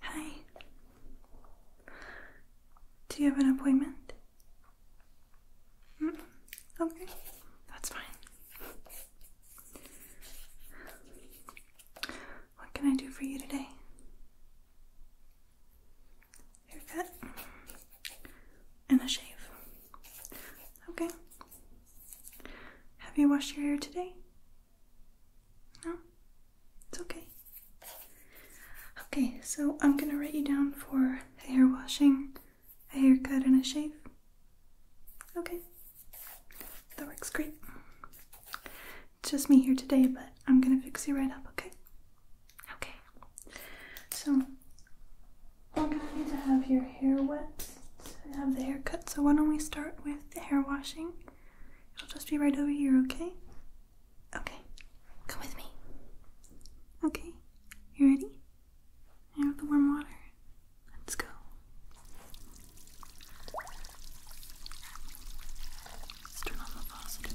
Hi. Do you have an appointment? Mm Okay, that's fine. What can I do for you today? haircut, and a shave. Okay. Have you washed your hair today? No? It's okay. Okay, so I'm gonna write you down for a hair washing, a haircut, and a shave. Okay. That works great just me here today, but I'm gonna fix you right up, okay? Okay. So I'm gonna need to have your hair wet to have the haircut. So why don't we start with the hair washing? It'll just be right over here, okay? Okay. Come with me. Okay. You ready? Here with the warm water. Let's go. Let's turn on the faucet a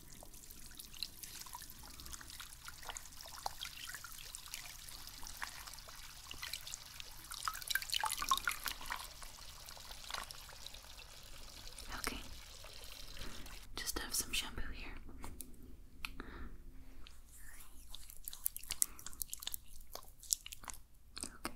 Okay, just have some shampoo here. Okay.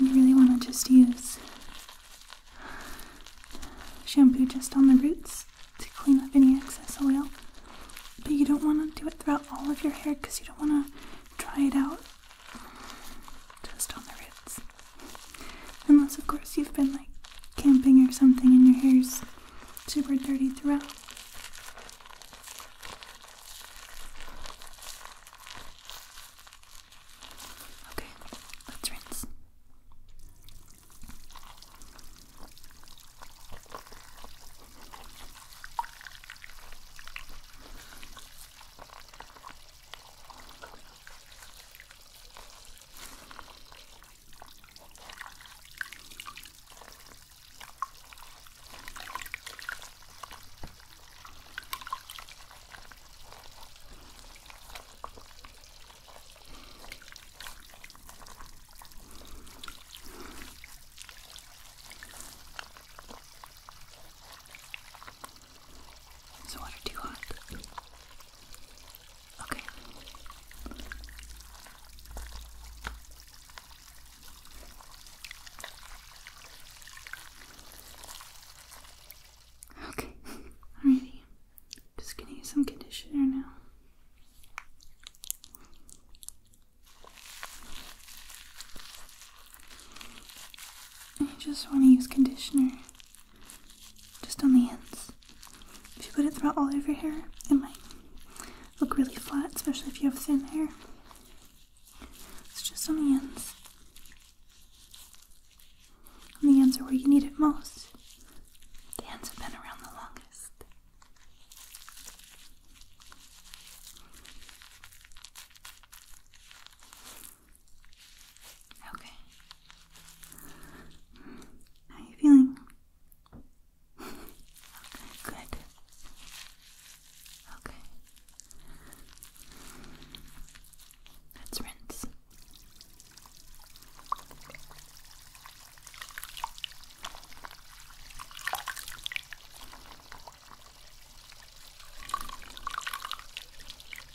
you really want to just use shampoo just on the roots to clean up any excess oil. But you don't want to do it throughout all of your hair because you don't want to dry it out just on the roots. Unless, of course, you've been like camping or something and your hair's super dirty throughout. Okay, let's rinse. Is the water too hot? Okay. Okay, alrighty. Just gonna use some conditioner now. I just want to use conditioner just on the ends. If you put it throughout all of your hair, it might look really flat, especially if you have thin hair. It's just on the ends. And the ends are where you need it most. The ends have been around the longest. Okay, how are you feeling? okay, good. Okay. Let's rinse.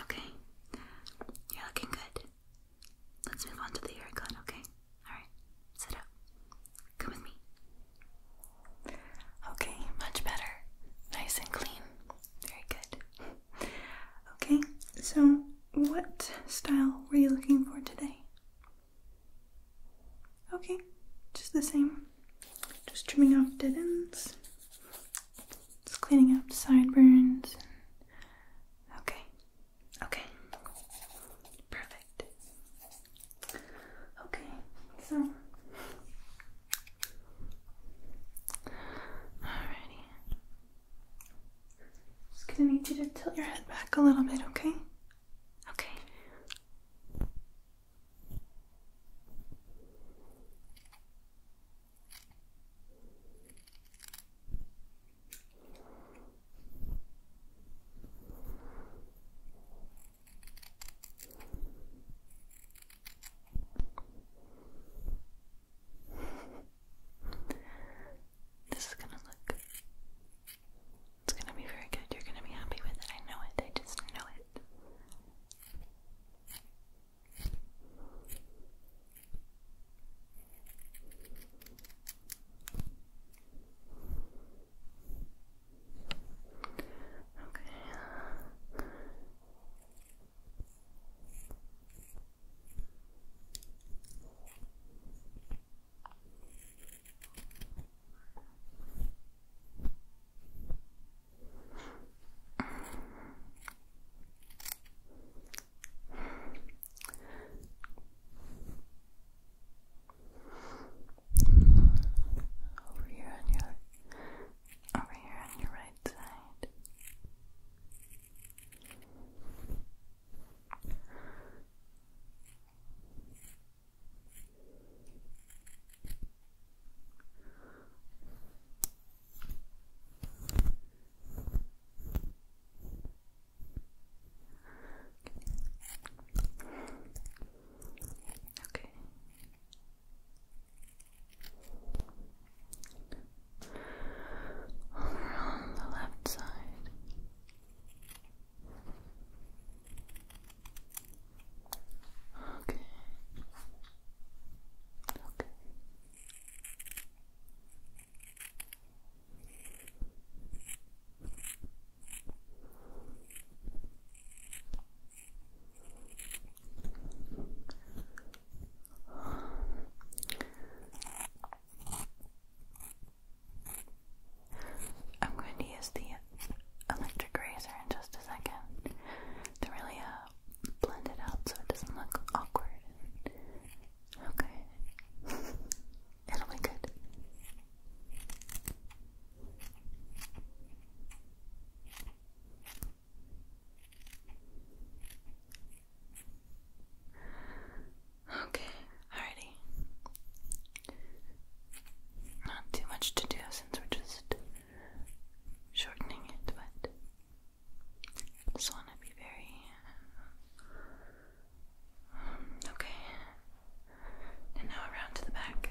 Okay, you're looking good. Let's move on to the haircut, okay? Alright, sit up. Come with me. Okay, much better. Nice and clean. Very good. Okay, so what style were you looking for today? Okay, just the same. Just trimming off dead ends. Just cleaning up sideburns. Okay, okay. Perfect. Okay, so. Alrighty. Just gonna need you to tilt your head back a little bit, okay? Okay this is gonna look. It's gonna be very good. You're gonna be happy with it. I know it. I just know it. Okay. Over here on your over here on your right side. Okay. Over on the left side. Okay. Okay. I'm going to use the electric razor in just a second to really uh, blend it out so it doesn't look awkward. Okay. It'll be good. Okay, alrighty. Not too much to do since we're just shortening it, but just want to be very. Um, okay. And now around to the back.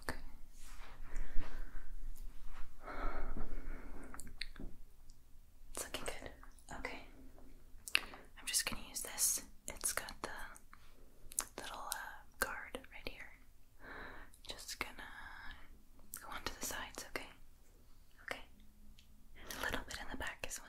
Okay. It's looking good. Okay. I'm just gonna use this. It's got the little uh, guard right here. Just gonna go onto the sides, okay? Okay. a little bit in the back as well.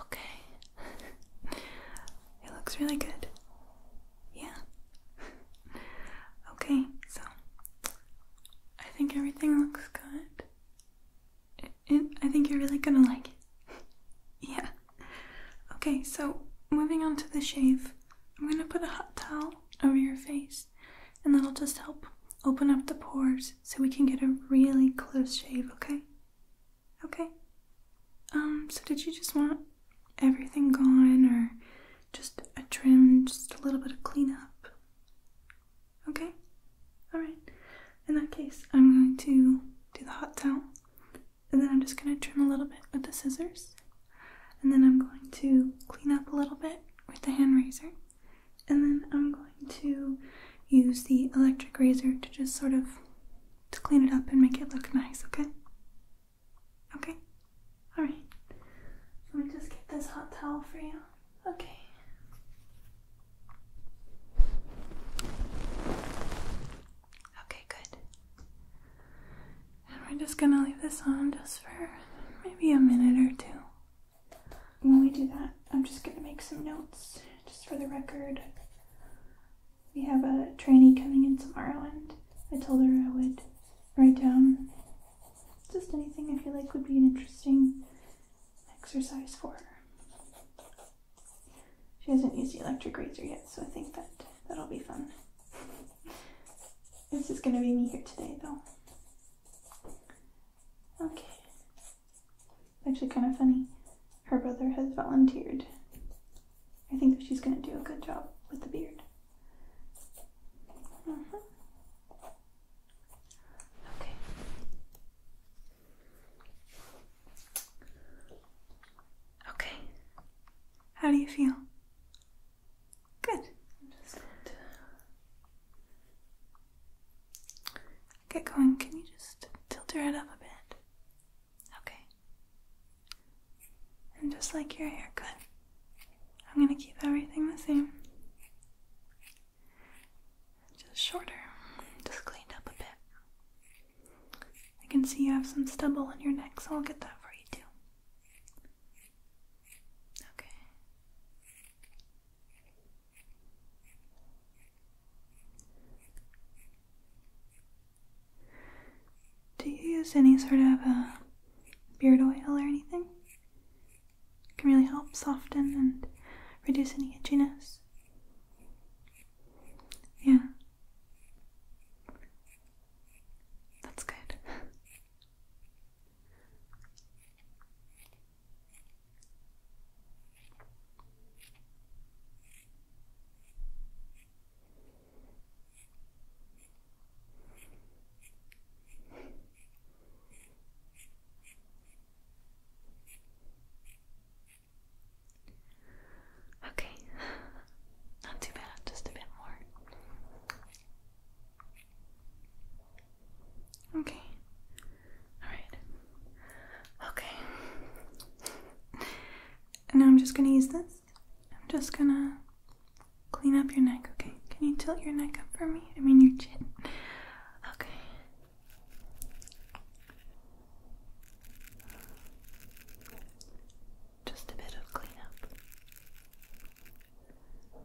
Okay. it looks really good. Yeah. okay, so I think everything looks good. I think you're really gonna like it. yeah. Okay, so moving on to the shave, I'm gonna put a hot towel over your face, and that'll just help open up the pores so we can get a really close shave, okay? Okay. Um, so did you just want everything gone or just a trim, just a little bit of cleanup. Okay? Alright. In that case, I'm going to do the hot towel. And then I'm just going to trim a little bit with the scissors. And then I'm going to clean up a little bit with the hand razor. And then I'm going to use the electric razor to just sort of to clean it up and make it look nice, okay? Okay? Alright. Let me just get this hot towel for you. Okay. Okay, good. And we're just gonna leave this on just for maybe a minute or two. When we do that, I'm just gonna make some notes just for the record. We have a trainee coming in tomorrow, and I told her I would write down just anything I feel like would be an interesting exercise for her. She hasn't used the electric razor yet, so I think that that'll be fun. This is gonna be me here today, though. Okay. actually kind of funny. Her brother has volunteered I think she's going to do a good job with the beard. Mm-hmm. Okay. Okay. How do you feel? Good. Uh, get going. Can you just tilt your head up a bit? Okay. And just like your haircut, I'm going to keep everything the same. Just shorter, just cleaned up a bit. I can see you have some stubble on your neck, so I'll get that for you too. Okay. Do you use any sort of uh, beard oil or anything? can really help soften and reduce any itchiness. Yeah. That's good. Okay, not too bad, just a bit more. Okay, alright. Okay. now I'm just going to use this I'm just gonna clean up your neck, okay? Can you tilt your neck up for me? I mean your chin. Okay. Just a bit of cleanup. Okay.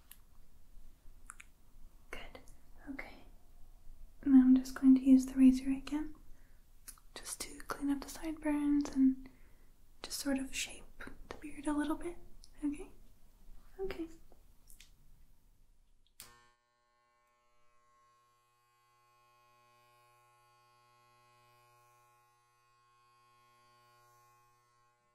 Good. Okay. Now I'm just going to use the razor again just to clean up the sideburns and just sort of shape the beard a little bit. Okay? Okay.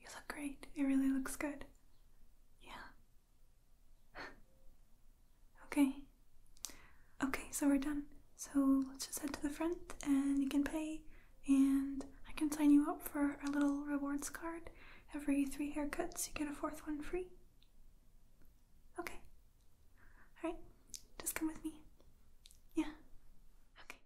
You look great. It really looks good. Yeah. okay. Okay, so we're done. So let's just head to the front and you can pay, and I can sign you up for our little rewards card. Every three haircuts, you get a fourth one free. Okay. Alright, just come with me. Yeah. Okay.